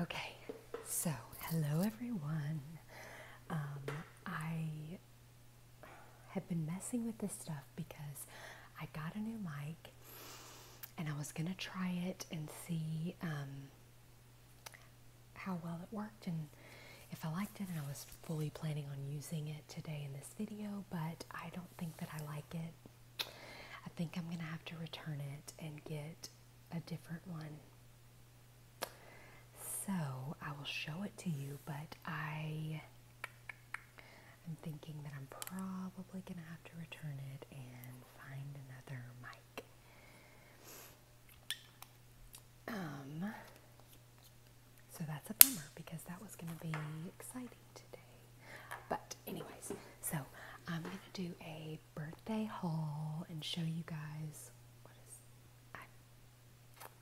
Okay, so hello everyone. Um, I have been messing with this stuff because I got a new mic and I was gonna try it and see um, how well it worked and if I liked it and I was fully planning on using it today in this video, but I don't think that I like it I think I'm going to have to return it and get a different one. So I will show it to you, but I am thinking that I'm probably going to have to return it and find another mic. Um, so that's a bummer because that was going to be exciting today. But anyways, so I'm going to do a birthday haul and show you guys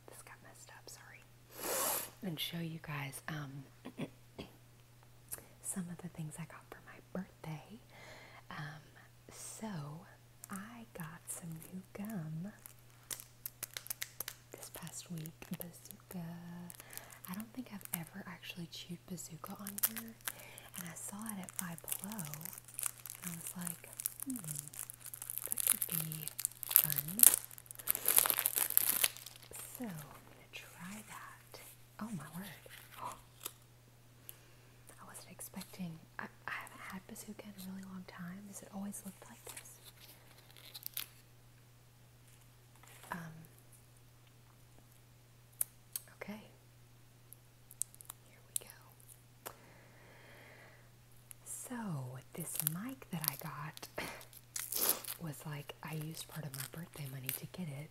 this got messed up, sorry. And show you guys um, some of the things I got for my birthday. Um, so I got some new gum this past week, bazooka. I don't think I've ever actually chewed bazooka on here and I saw it at Five Below, and I was like, hmm, that could be fun. So I'm gonna try that. Oh my word! I wasn't expecting. I, haven't had bazooka in a really long time. Has it always looked like this? Um, okay. Here we go. So, this mic that I got was like, I used part of my birthday money to get it.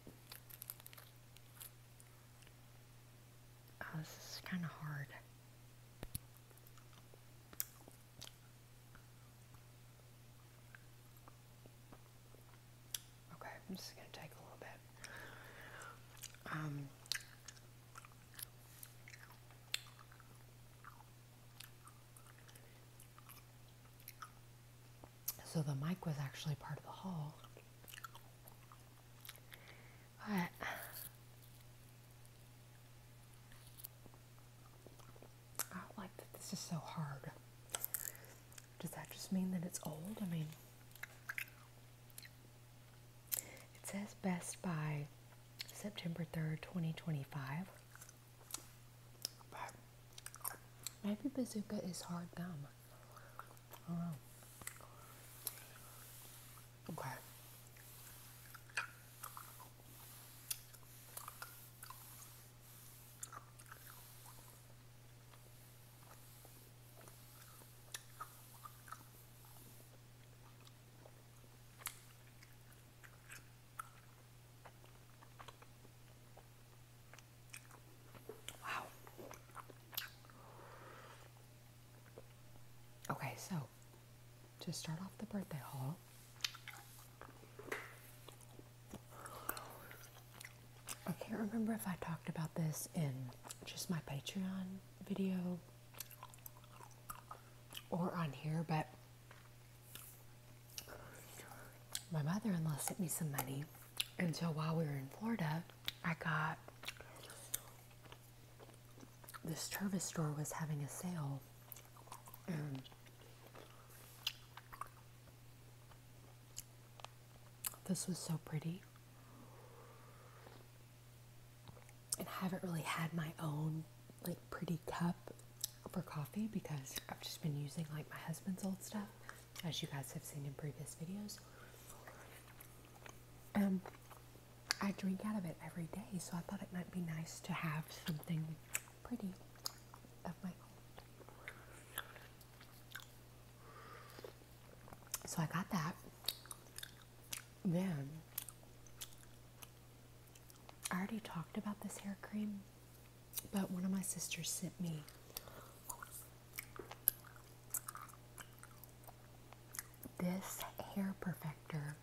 Oh, this is kind of hard. Okay, I'm just going to take a little bit. Um, so the mic was actually part of the hall. But I like that this is so hard. Does that just mean that it's old? I mean, it says best by September 3rd, 2025. maybe bazooka is hard gum. I Okay. Wow. Okay, so to start off the birthday haul, I can't remember if I talked about this in just my Patreon video or on here, but my mother in law sent me some money. And so while we were in Florida, I got this service store was having a sale. This was so pretty. And I haven't really had my own like pretty cup for coffee because I've just been using like my husband's old stuff, as you guys have seen in previous videos. Um, I drink out of it every day, so I thought it might be nice to have something pretty of my own. So I got that. Then I already talked about this hair cream, but one of my sisters sent me this hair perfector.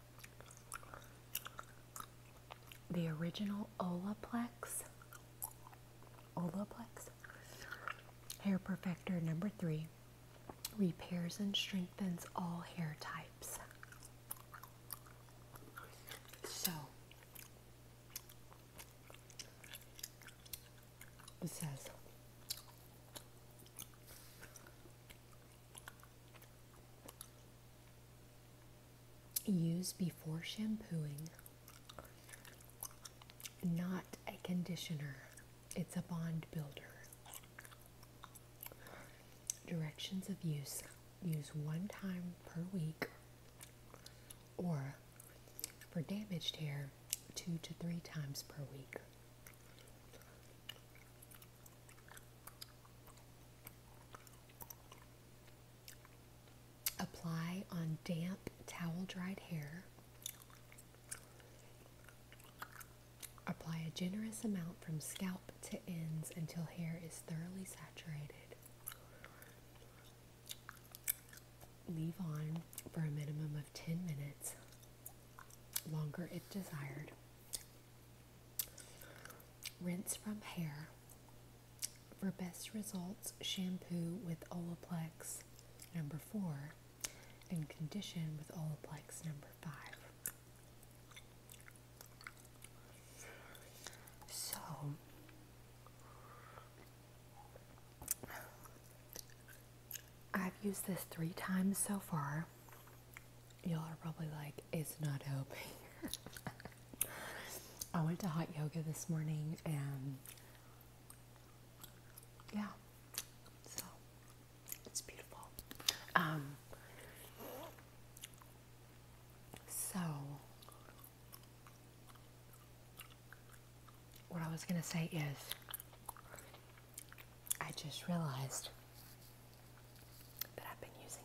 The original Olaplex Olaplex Hair Perfector number three repairs and strengthens all hair types. So, it says use before shampooing not a conditioner, it's a bond builder. Directions of use use one time per week or for damaged hair, two to three times per week. Apply on damp towel dried hair. Apply a generous amount from scalp to ends until hair is thoroughly saturated. Leave on for a minimum of 10 minutes, longer if desired. Rinse from hair. For best results, shampoo with Olaplex number four, and condition with Olaplex number five. So, I've used this three times so far. Y'all are probably like, it's not helping. I went to hot yoga this morning and yeah, so it's beautiful. Um, so, what I was going to say is, I just realized that I've been using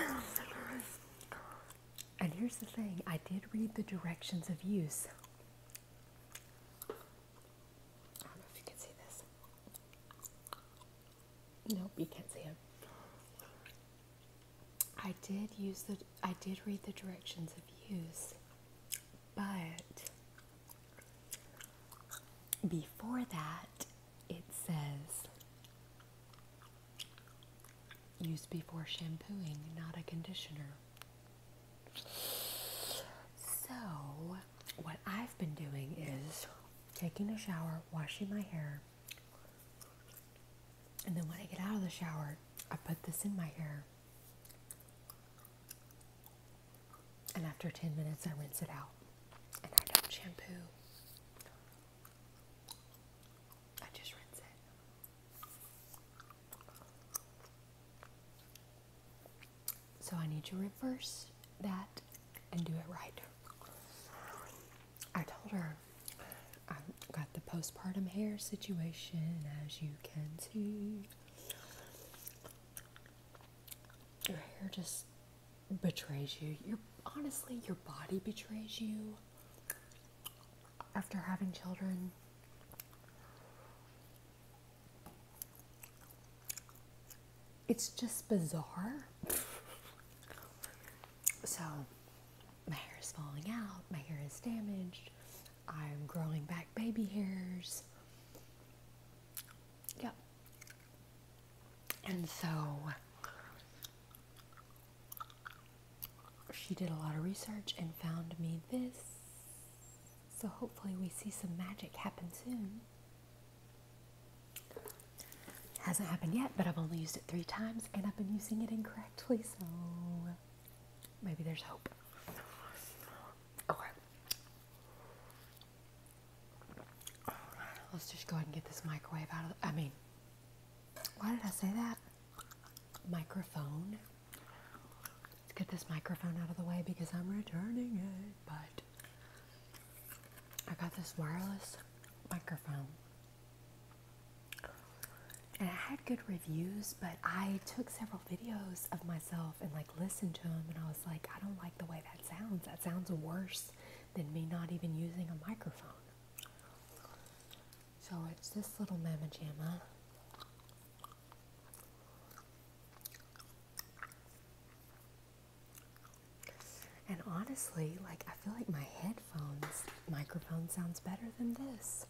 it wrong. And here's the thing I did read the directions of use. I don't know if you can see this. Nope, you can't see it. I did use the I did read the directions of use, but before that it says Use before shampooing, not a conditioner. So, what I've been doing is taking a shower, washing my hair, and then when I get out of the shower, I put this in my hair. And after 10 minutes, I rinse it out. And I don't shampoo. I just rinse it. So I need to reverse that and do it right. I told her I've um, got the postpartum hair situation as you can see. Your hair just betrays you. Your honestly, your body betrays you after having children. It's just bizarre. So, my hair is falling out, my hair is damaged, I'm growing back baby hairs. Yep. And so, she did a lot of research and found me this. So hopefully, we see some magic happen soon. Hasn't happened yet, but I've only used it three times and I've been using it incorrectly, so maybe there's hope. Okay. Let's just go ahead and get this microwave out of I mean, why did I say that? microphone. Let's get this microphone out of the way because I'm returning it. But I got this wireless microphone. And I had good reviews, but I took several videos of myself and like listened to them, and I was like, I don't like the way that sounds. That sounds worse than me not even using a microphone. So it's this little mamma jamma. And honestly, like I feel like my headphones microphone sounds better than this.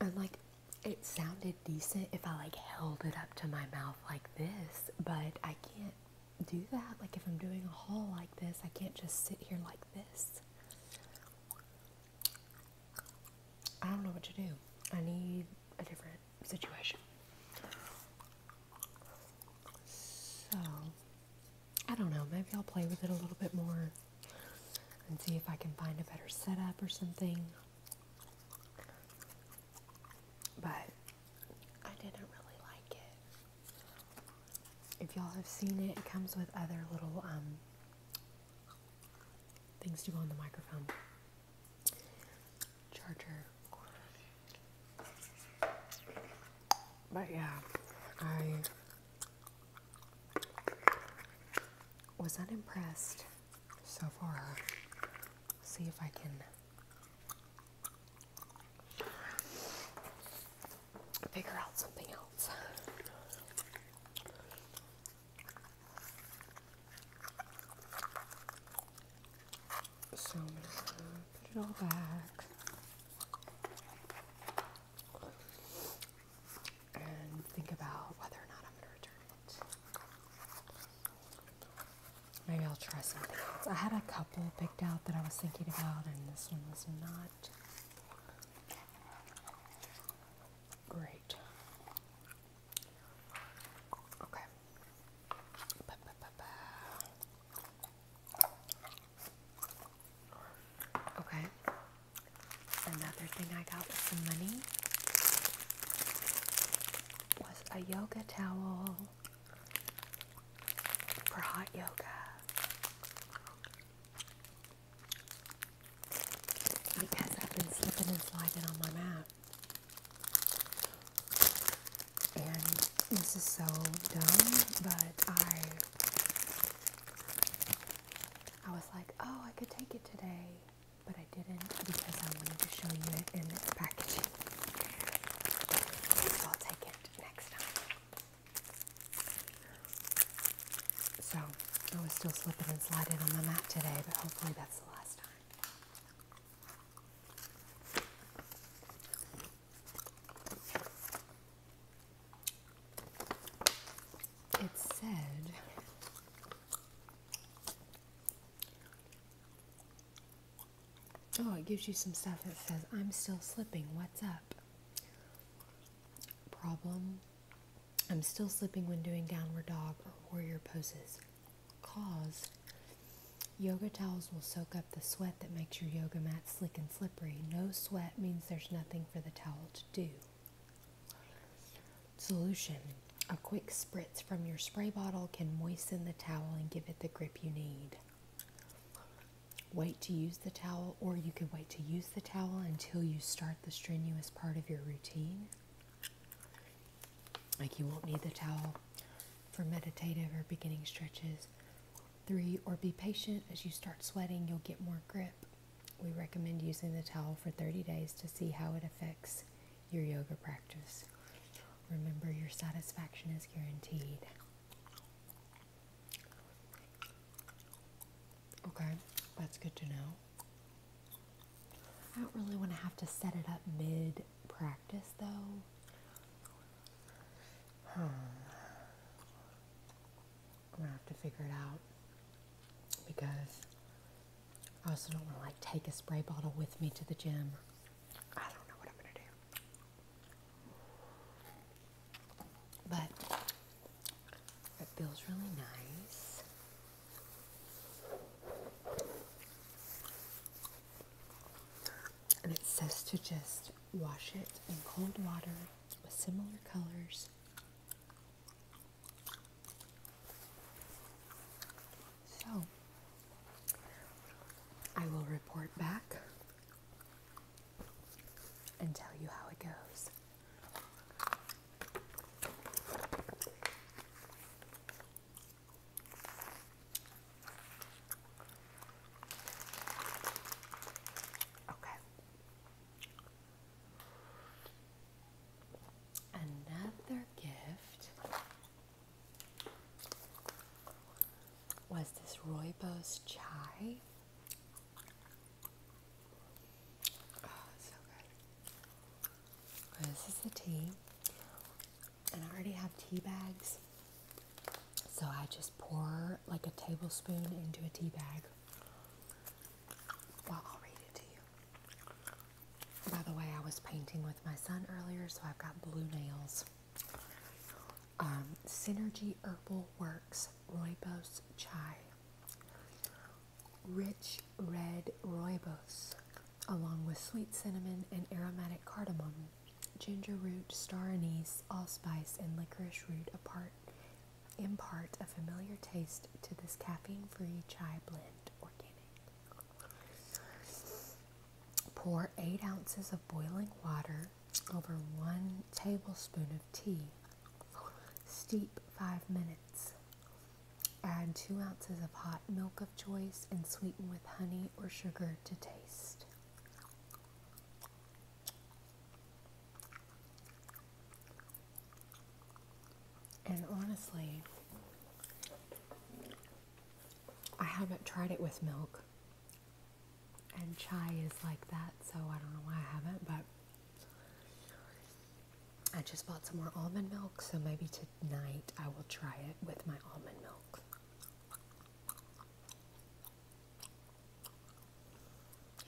And like it sounded decent if I like held it up to my mouth like this, but I can't do that. Like if I'm doing a haul like this, I can't just sit here like this. I don't know what to do. I need a different situation. So, I don't know. Maybe I'll play with it a little bit more and see if I can find a better setup or something. But I didn't really like it if y'all have seen it, it comes with other little um, things to go on the microphone. Charger. But yeah, I was unimpressed so far. See if I can figure out something else. So I'm gonna put it all back. And think about whether or not I'm going to return it. Maybe I'll try something else. I had a couple picked out that I was thinking about, and this one was not Great. Okay. Okay. Another thing I got with some money was a yoga towel for hot yoga because I've been slipping and sliding on my mat. And this is so dumb, but I I was like, oh, I could take it today, but I didn't because I wanted to show you it in its packaging. So I'll take it next time. So I was still slipping and sliding on my mat today, but hopefully that's the last time. It said Oh, it gives you some stuff that says, I'm still slipping. What's up? Problem I'm still slipping when doing downward dog or warrior poses. Cause yoga towels will soak up the sweat that makes your yoga mat slick and slippery. No sweat means there's nothing for the towel to do. Solution A quick spritz from your spray bottle can moisten the towel and give it the grip you need. Wait to use the towel, or you could wait to use the towel until you start the strenuous part of your routine. Like you won't need the towel for meditative or beginning stretches. Three, or be patient as you start sweating, you'll get more grip. We recommend using the towel for 30 days to see how it affects your yoga practice. Remember, your satisfaction is guaranteed. Okay, that's good to know. I don't really want to have to set it up mid practice though. I'm hmm. gonna have to figure it out because I also don't want to like take a spray bottle with me to the gym. I don't know what I'm gonna do. But it feels really nice. And it says to just wash it in cold water with similar colors. So, I will report back and tell you how it goes. Okay. Another gift was this rooibos chai Oh, this is the tea. And I already have tea bags. So I just pour like a tablespoon into a tea bag. Well, I'll read it to you. By the way, I was painting with my son earlier, so I've got blue nails. Um, Synergy Herbal Works Rooibos Chai. Rich red rooibos, along with sweet cinnamon and aromatic cardamom, ginger root, star anise, allspice, and licorice root apart impart a familiar taste to this caffeine-free chai blend, organic. Pour 8 ounces of boiling water over 1 tablespoon of tea Steep five minutes. Add two ounces of hot milk of choice and sweeten with honey or sugar to taste. And honestly, I haven't tried it with milk. And chai is like that, so I don't know why I haven't, but I just bought some more almond milk, so maybe tonight I will try it with my almond milk.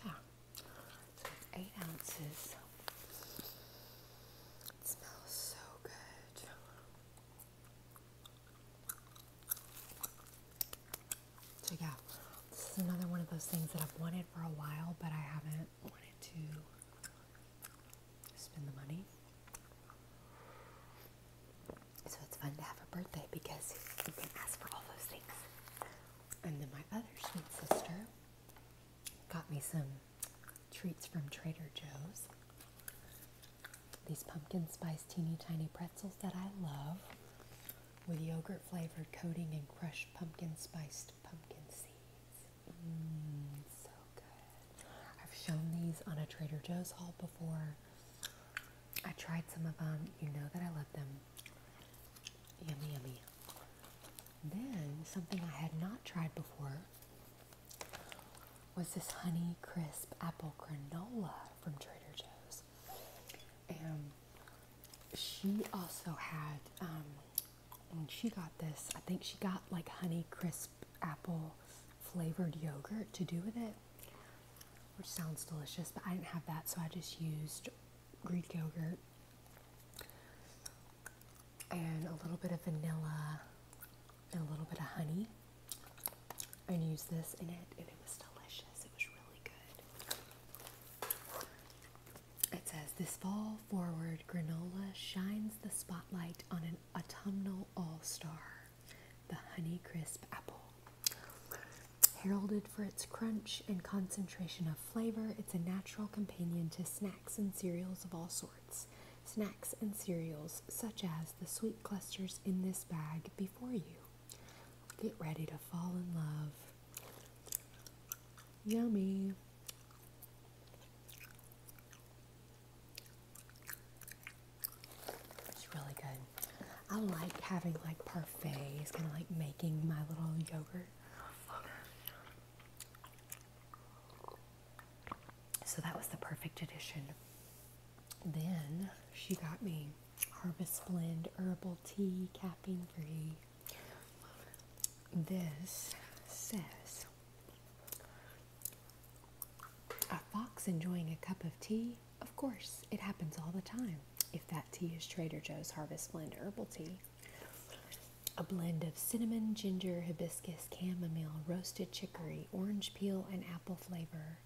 Yeah, eight ounces. smells so good. So yeah, this is another one of those things that I've wanted for a while, but I haven't wanted to spend the money. So it's fun to have a birthday because you can ask for all those things. And then my other sweet sister got me some treats from Trader Joe's. These pumpkin spice teeny tiny pretzels that I love with yogurt flavored coating and crushed pumpkin spice pumpkin seeds. Mm, so good. I've shown these on a Trader Joe's haul before. I tried some of them. You know that I love them. Yummy, yummy. Then, something I had not tried before was this Honey Crisp Apple Granola from Trader Joe's and she also had um, she got this, I think she got like honey crisp apple flavored yogurt to do with it, which sounds delicious. But I didn't have that, so I just used Greek yogurt and a little bit of vanilla and a little bit of honey, and used this in it, and it was delicious. It was really good. It says this fall forward granola shines the spotlight on an autumnal all-star, the honey crisp apple. Heralded for its crunch and concentration of flavor, it's a natural companion to snacks and cereals of all sorts. Snacks and cereals such as the sweet clusters in this bag before you. Get ready to fall in love. Yummy. It's really good. I like having like parfaits, kind of like making my little yogurt. So that was the perfect addition. Then she got me Harvest Blend Herbal Tea Caffeine Free this says A fox enjoying a cup of tea? Of course, it happens all the time. If that tea is Trader Joe's Harvest Blend Herbal Tea, a blend of cinnamon, ginger, hibiscus, chamomile, roasted chicory, orange peel, and apple flavor.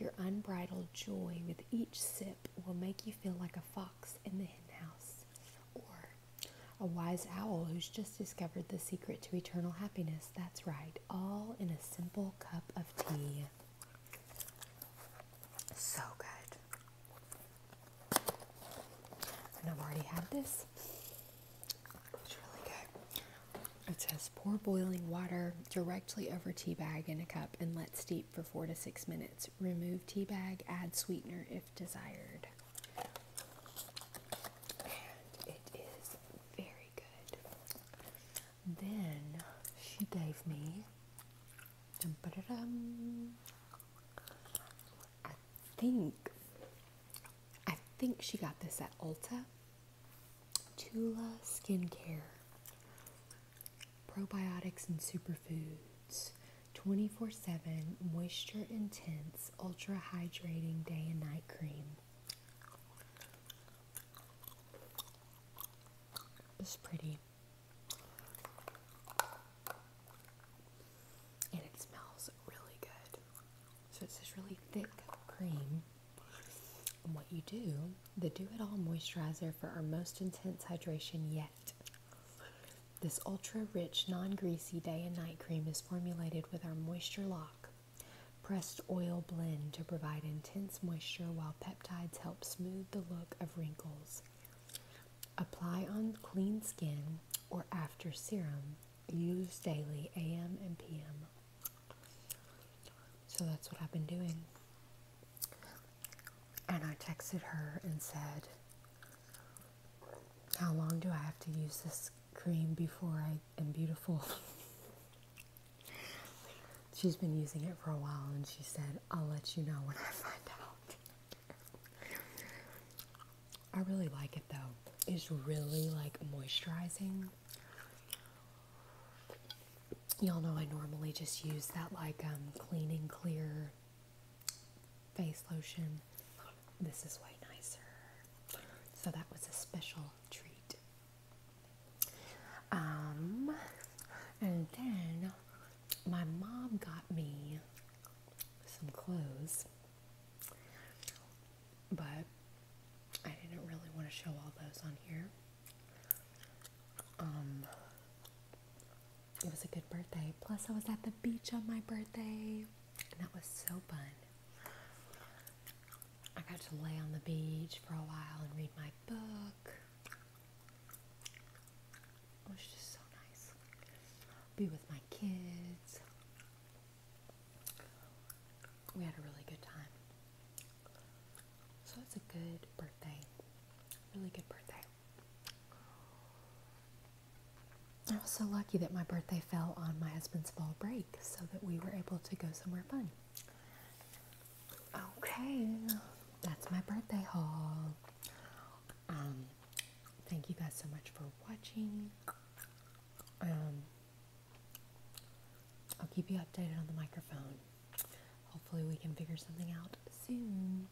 Your unbridled joy with each sip will make you feel like a fox in the henhouse, or a wise owl who's just discovered the secret to eternal happiness. That's right, all in a simple cup of tea. So good. And I've already had this. It's really good. It says pour boiling water directly over tea bag in a cup and let steep for four to six minutes remove tea bag, add sweetener if desired. it is very good. Then she gave me I think I think she got this at Ulta. Tula skincare probiotics and superfoods 24 7 moisture intense ultra hydrating day and night cream it's pretty and it smells really good so it's this really thick cream and what you do the do it all moisturizer for our most intense hydration yet this ultra rich, non greasy day and night cream is formulated with our moisture lock pressed oil blend to provide intense moisture while peptides help smooth the look of wrinkles. Apply on clean skin or after serum. Use daily AM and PM. So that's what I've been doing. And I texted her and said, How long do I have to use this cream before I am beautiful? She's been using it for a while and she said, I'll let you know when I find out. I really like it though. It's really like moisturizing. Y'all know I normally just use that like um, cleaning clear face lotion. This is way nicer. So that was a special treat. Um, and then my mom got me some clothes, but I didn't really want to show all those on here. Um, it was a good birthday. Plus, I was at the beach on my birthday, and that was so fun. I got to lay on the beach for a while and read my book. It was just so nice. Be with my kids. We had a really good time. So it's a good birthday. Really good birthday. I was so lucky that my birthday fell on my husband's fall break so that we were able to go somewhere fun. Okay, that's my birthday haul. Um, thank you guys so much for watching. Um, I'll keep you updated on the microphone. Hopefully we can figure something out soon.